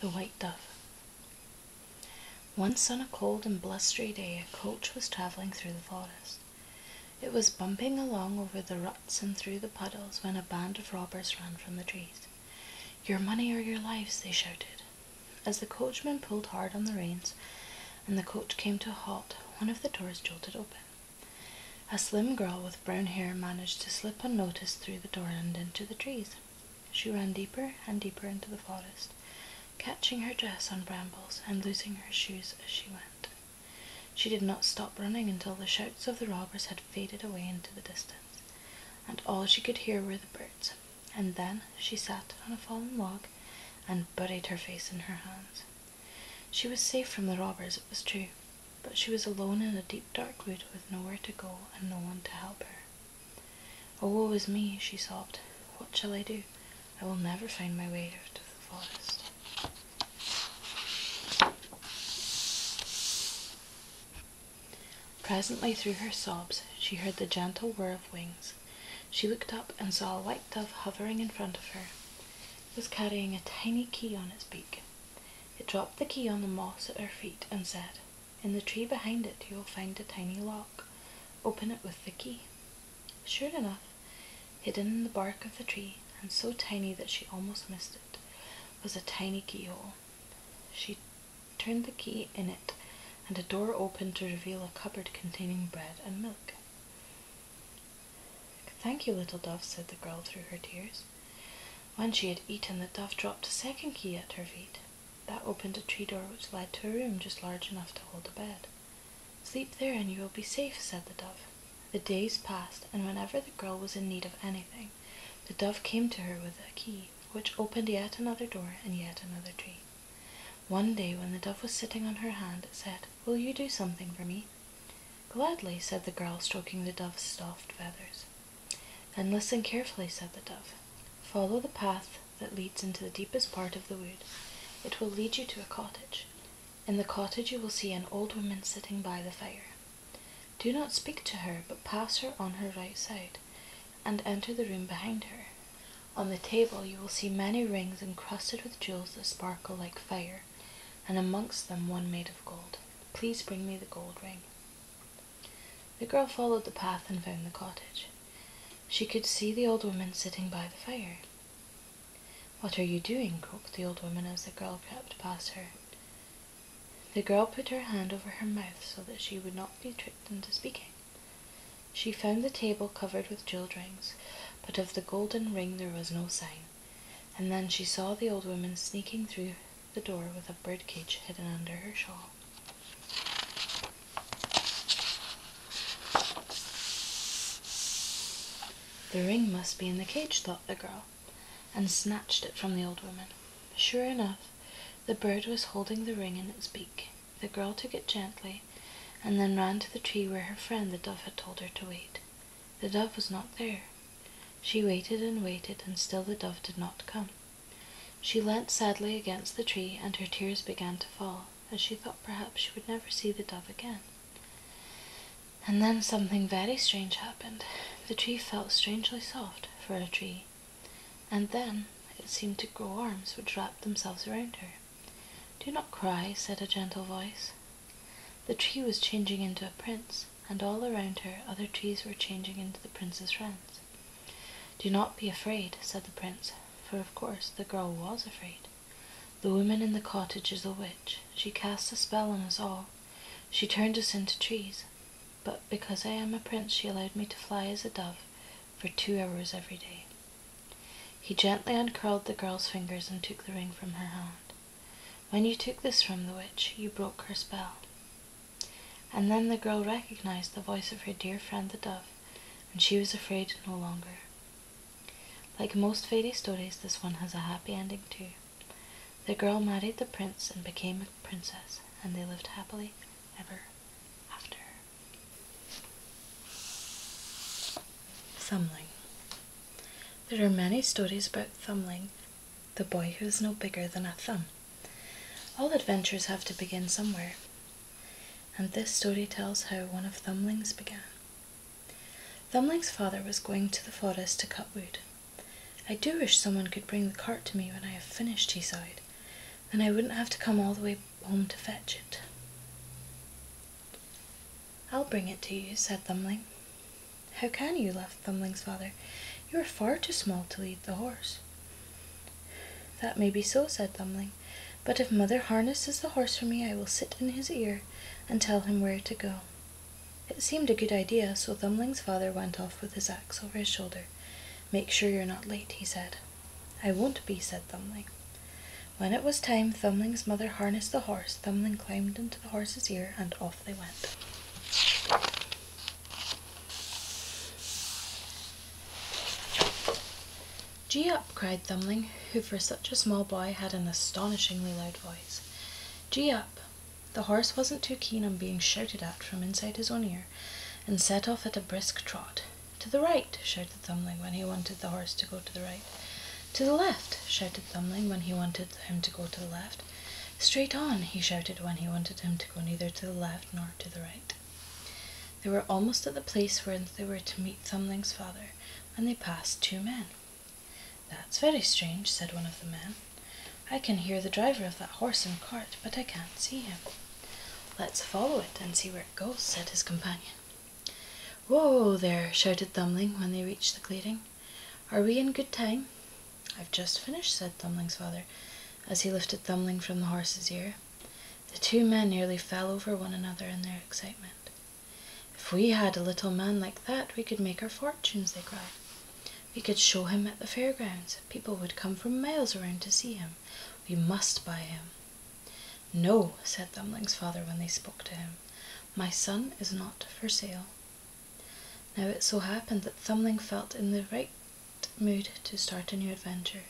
The White Dove. Once on a cold and blustery day, a coach was traveling through the forest. It was bumping along over the ruts and through the puddles when a band of robbers ran from the trees. Your money or your lives, they shouted. As the coachman pulled hard on the reins and the coach came to a halt, one of the doors jolted open. A slim girl with brown hair managed to slip unnoticed through the door and into the trees. She ran deeper and deeper into the forest, catching her dress on brambles and losing her shoes as she went. She did not stop running until the shouts of the robbers had faded away into the distance, and all she could hear were the birds. And then she sat on a fallen log and buried her face in her hands. She was safe from the robbers, it was true, but she was alone in a deep dark wood with nowhere to go and no one to help her. Oh, woe is me, she sobbed. What shall I do? I will never find my way out of the forest. Presently, through her sobs, she heard the gentle whir of wings. She looked up and saw a white dove hovering in front of her. It was carrying a tiny key on its beak. It dropped the key on the moss at her feet and said, In the tree behind it you will find a tiny lock. Open it with the key. Sure enough, hidden in the bark of the tree, and so tiny that she almost missed it, was a tiny keyhole. She turned the key in it, and a door opened to reveal a cupboard containing bread and milk. Thank you, little dove, said the girl through her tears. When she had eaten, the dove dropped a second key at her feet. That opened a tree door which led to a room just large enough to hold a bed. Sleep there and you will be safe, said the dove. The days passed, and whenever the girl was in need of anything, the dove came to her with a key, which opened yet another door and yet another tree. One day, when the dove was sitting on her hand, it said, Will you do something for me? Gladly, said the girl, stroking the dove's soft feathers. And listen carefully, said the dove. Follow the path that leads into the deepest part of the wood. It will lead you to a cottage. In the cottage you will see an old woman sitting by the fire. Do not speak to her, but pass her on her right side, and enter the room behind her. On the table you will see many rings encrusted with jewels that sparkle like fire and amongst them one made of gold. Please bring me the gold ring. The girl followed the path and found the cottage. She could see the old woman sitting by the fire. What are you doing? croaked the old woman as the girl crept past her. The girl put her hand over her mouth so that she would not be tricked into speaking. She found the table covered with jeweled rings, but of the golden ring there was no sign. And then she saw the old woman sneaking through the door with a birdcage hidden under her shawl. The ring must be in the cage, thought the girl, and snatched it from the old woman. Sure enough, the bird was holding the ring in its beak. The girl took it gently and then ran to the tree where her friend the dove had told her to wait. The dove was not there. She waited and waited, and still the dove did not come. She leaned sadly against the tree, and her tears began to fall, as she thought perhaps she would never see the dove again. And then something very strange happened. The tree felt strangely soft for a tree, and then it seemed to grow arms which wrapped themselves around her. Do not cry, said a gentle voice. The tree was changing into a prince, and all around her other trees were changing into the prince's friends. Do not be afraid, said the prince, for of course the girl was afraid. The woman in the cottage is a witch. She cast a spell on us all. She turned us into trees. But because I am a prince, she allowed me to fly as a dove for two hours every day. He gently uncurled the girl's fingers and took the ring from her hand. When you took this from the witch, you broke her spell. And then the girl recognized the voice of her dear friend the dove, and she was afraid no longer. Like most fairy stories, this one has a happy ending too. The girl married the prince and became a princess, and they lived happily ever after. Thumbling. There are many stories about Thumbling, the boy who is no bigger than a thumb. All adventures have to begin somewhere, and this story tells how one of Thumbling's began. Thumbling's father was going to the forest to cut wood. I do wish someone could bring the cart to me when I have finished, he sighed. Then I wouldn't have to come all the way Home to fetch it. I'll bring it to you, said Thumbling. How can you? laughed Thumbling's father. You are far too small to lead the horse. That may be so, said Thumbling, but if mother harnesses the horse for me, I will sit in his ear and tell him where to go. It seemed a good idea, so Thumbling's father went off with his axe over his shoulder. Make sure you're not late, he said. I won't be, said Thumbling. When it was time, Thumbling's mother harnessed the horse. Thumbling climbed into the horse's ear, and off they went. Gee up, cried Thumbling, who for such a small boy had an astonishingly loud voice. Gee up! The horse wasn't too keen on being shouted at from inside his own ear and set off at a brisk trot. To the right, shouted Thumbling when he wanted the horse to go to the right. To the left, shouted Thumbling when he wanted him to go to the left. Straight on, he shouted when he wanted him to go neither to the left nor to the right. They were almost at the place where they were to meet Thumbling's father, and they passed two men. That's very strange, said one of the men. I can hear the driver of that horse and cart, but I can't see him. Let's follow it and see where it goes, said his companion. Whoa there, shouted Thumbling when they reached the clearing. Are we in good time? I've just finished, said Thumbling's father, as he lifted Thumbling from the horse's ear. The two men nearly fell over one another in their excitement. If we had a little man like that, we could make our fortunes, they cried. We could show him at the fairgrounds, people would come from miles around to see him. We must buy him. No, said Thumbling's father when they spoke to him. My son is not for sale. Now it so happened that Thumbling felt in the right mood to start a new adventure.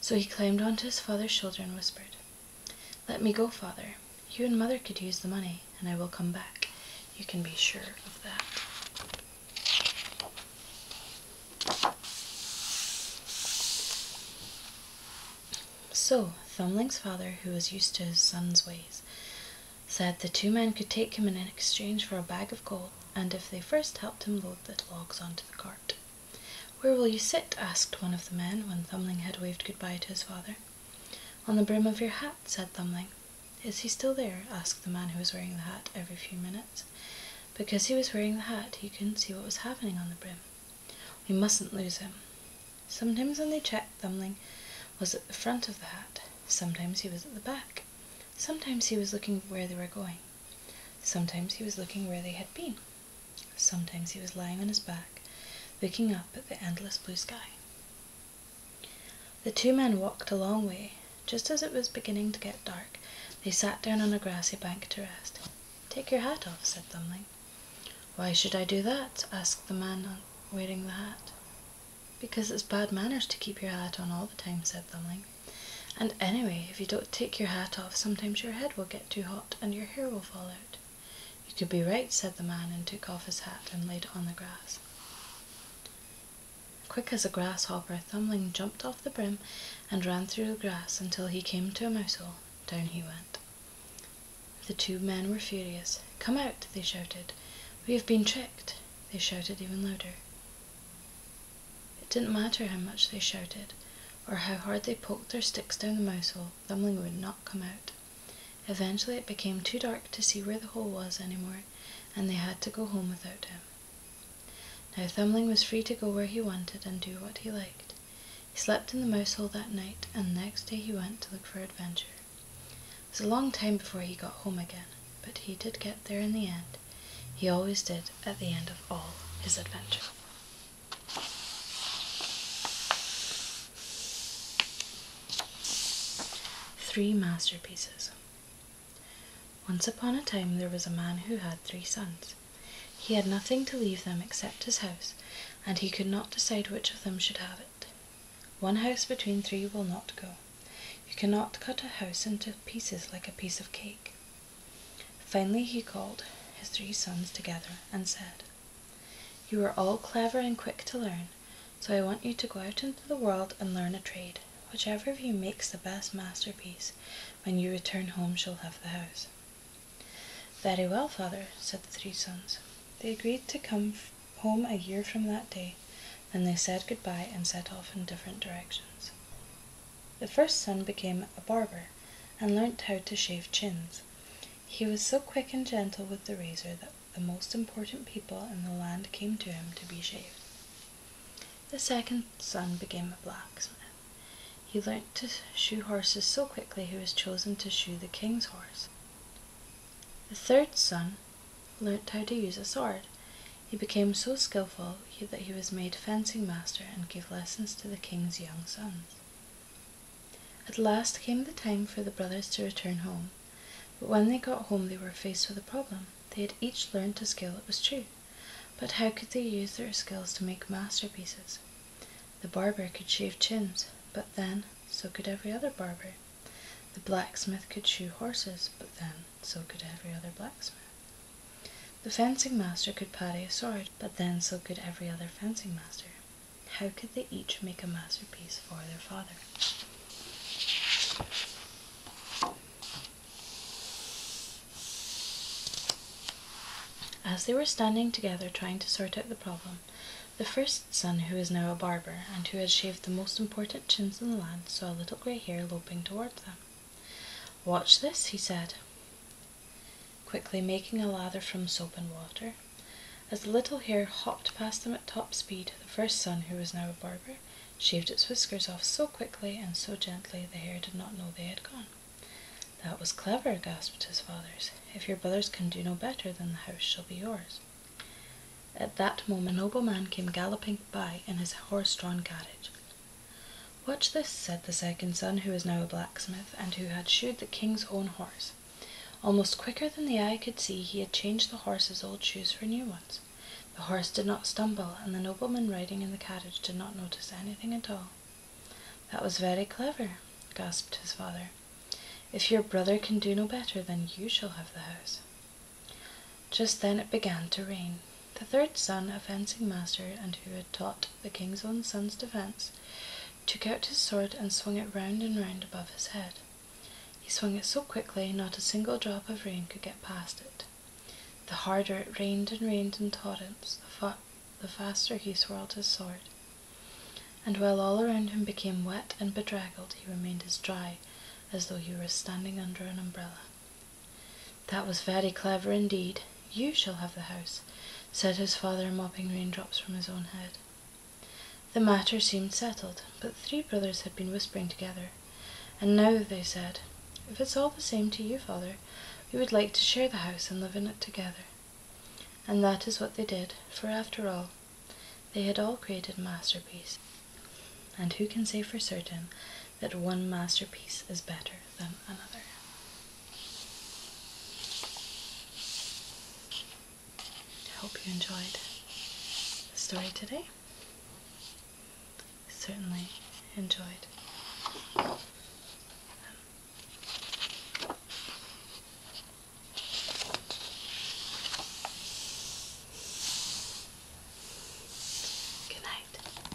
So he climbed onto his father's shoulder and whispered, Let me go, father. You and mother could use the money, and I will come back. You can be sure of that. So Thumbling's father, who was used to his son's ways, said the two men could take him in exchange for a bag of gold, and if they first helped him load the logs onto the cart. Where will you sit? asked one of the men when Thumbling had waved goodbye to his father. On the brim of your hat, said Thumbling. Is he still there? asked the man who was wearing the hat every few minutes. Because he was wearing the hat, he couldn't see what was happening on the brim. We mustn't lose him. Sometimes when they checked, Thumbling was at the front of the hat. Sometimes he was at the back. Sometimes he was looking where they were going. Sometimes he was looking where they had been. Sometimes he was lying on his back, looking up at the endless blue sky. The two men walked a long way. Just as it was beginning to get dark, they sat down on a grassy bank to rest. Take your hat off, said Thumbling. Why should I do that? asked the man wearing the hat. Because it's bad manners to keep your hat on all the time, said Thumbling. And anyway, if you don't take your hat off, sometimes your head will get too hot and your hair will fall out. You could be right, said the man, and took off his hat and laid it on the grass. Quick as a grasshopper, Thumbling jumped off the brim and ran through the grass until he came to a mouse hole. Down he went. The two men were furious. Come out, they shouted. We have been tricked, they shouted even louder. It didn't matter how much they shouted or how hard they poked their sticks down the mouse hole, Thumbling would not come out. Eventually, it became too dark to see where the hole was any more, and they had to go home without him. Now, Thumbling was free to go where he wanted and do what he liked. He slept in the mouse hole that night, and next day he went to look for adventure. It was a long time before he got home again, but he did get there in the end. He always did at the end of all his adventures. Three masterpieces. Once upon a time there was a man who had three sons. He had nothing to leave them except his house, and he could not decide which of them should have it. One house between three will not go. You cannot cut a house into pieces like a piece of cake. Finally, he called his three sons together and said, You are all clever and quick to learn, so I want you to go out into the world and learn a trade. Whichever of you makes the best masterpiece, when you return home, shall have the house. Very well, father, said the three sons. They agreed to come home a year from that day, and they said good bye and set off in different directions. The first son became a barber and learnt how to shave chins. He was so quick and gentle with the razor that the most important people in the land came to him to be shaved. The second son became a blacksmith. He learnt to shoe horses so quickly he was chosen to shoe the king's horse. The third son learnt how to use a sword. He became so skilful that he was made fencing master and gave lessons to the king's young sons. At last came the time for the brothers to return home, but when they got home they were faced with a problem. They had each learned a skill, it was true, but how could they use their skills to make masterpieces? The barber could shave chins, but then so could every other barber. The blacksmith could shoe horses, but then so could every other blacksmith. The fencing master could paddy a sword, but then so could every other fencing master. How could they each make a masterpiece for their father? As they were standing together trying to sort out the problem, the first son, who is now a barber and who had shaved the most important chins in the land, saw a little grey hair loping towards them. Watch this, he said quickly making a lather from soap and water. As the little hare hopped past them at top speed, the first son, who was now a barber, shaved its whiskers off so quickly and so gently the hare did not know they had gone. That was clever, gasped his fathers. If your brothers can do no better, then the house shall be yours. At that moment, a nobleman came galloping by in his horse drawn carriage. Watch this, said the second son, who was now a blacksmith, and who had shoed the king's own horse. Almost quicker than the eye could see, he had changed the horse's old shoes for new ones. The horse did not stumble, and the nobleman riding in the carriage did not notice anything at all. That was very clever, gasped his father. If your brother can do no better, then you shall have the house. Just then it began to rain. The third son, a fencing master, and who had taught the king's own son's defence, took out his sword and swung it round and round above his head. He swung it so quickly not a single drop of rain could get past it. The harder it rained and rained in torrents, the, the faster he swirled his sword. And while all around him became wet and bedraggled, he remained as dry as though he were standing under an umbrella. That was very clever indeed, you shall have the house, said his father, mopping raindrops from his own head. The matter seemed settled, but the three brothers had been whispering together, and now they said, If it's all the same to you, father, we would like to share the house and live in it together. And that is what they did, for after all, they had all created masterpieces, and who can say for certain that one masterpiece is better? better another. I hope you enjoyed the story today. certainly enjoyed Good night.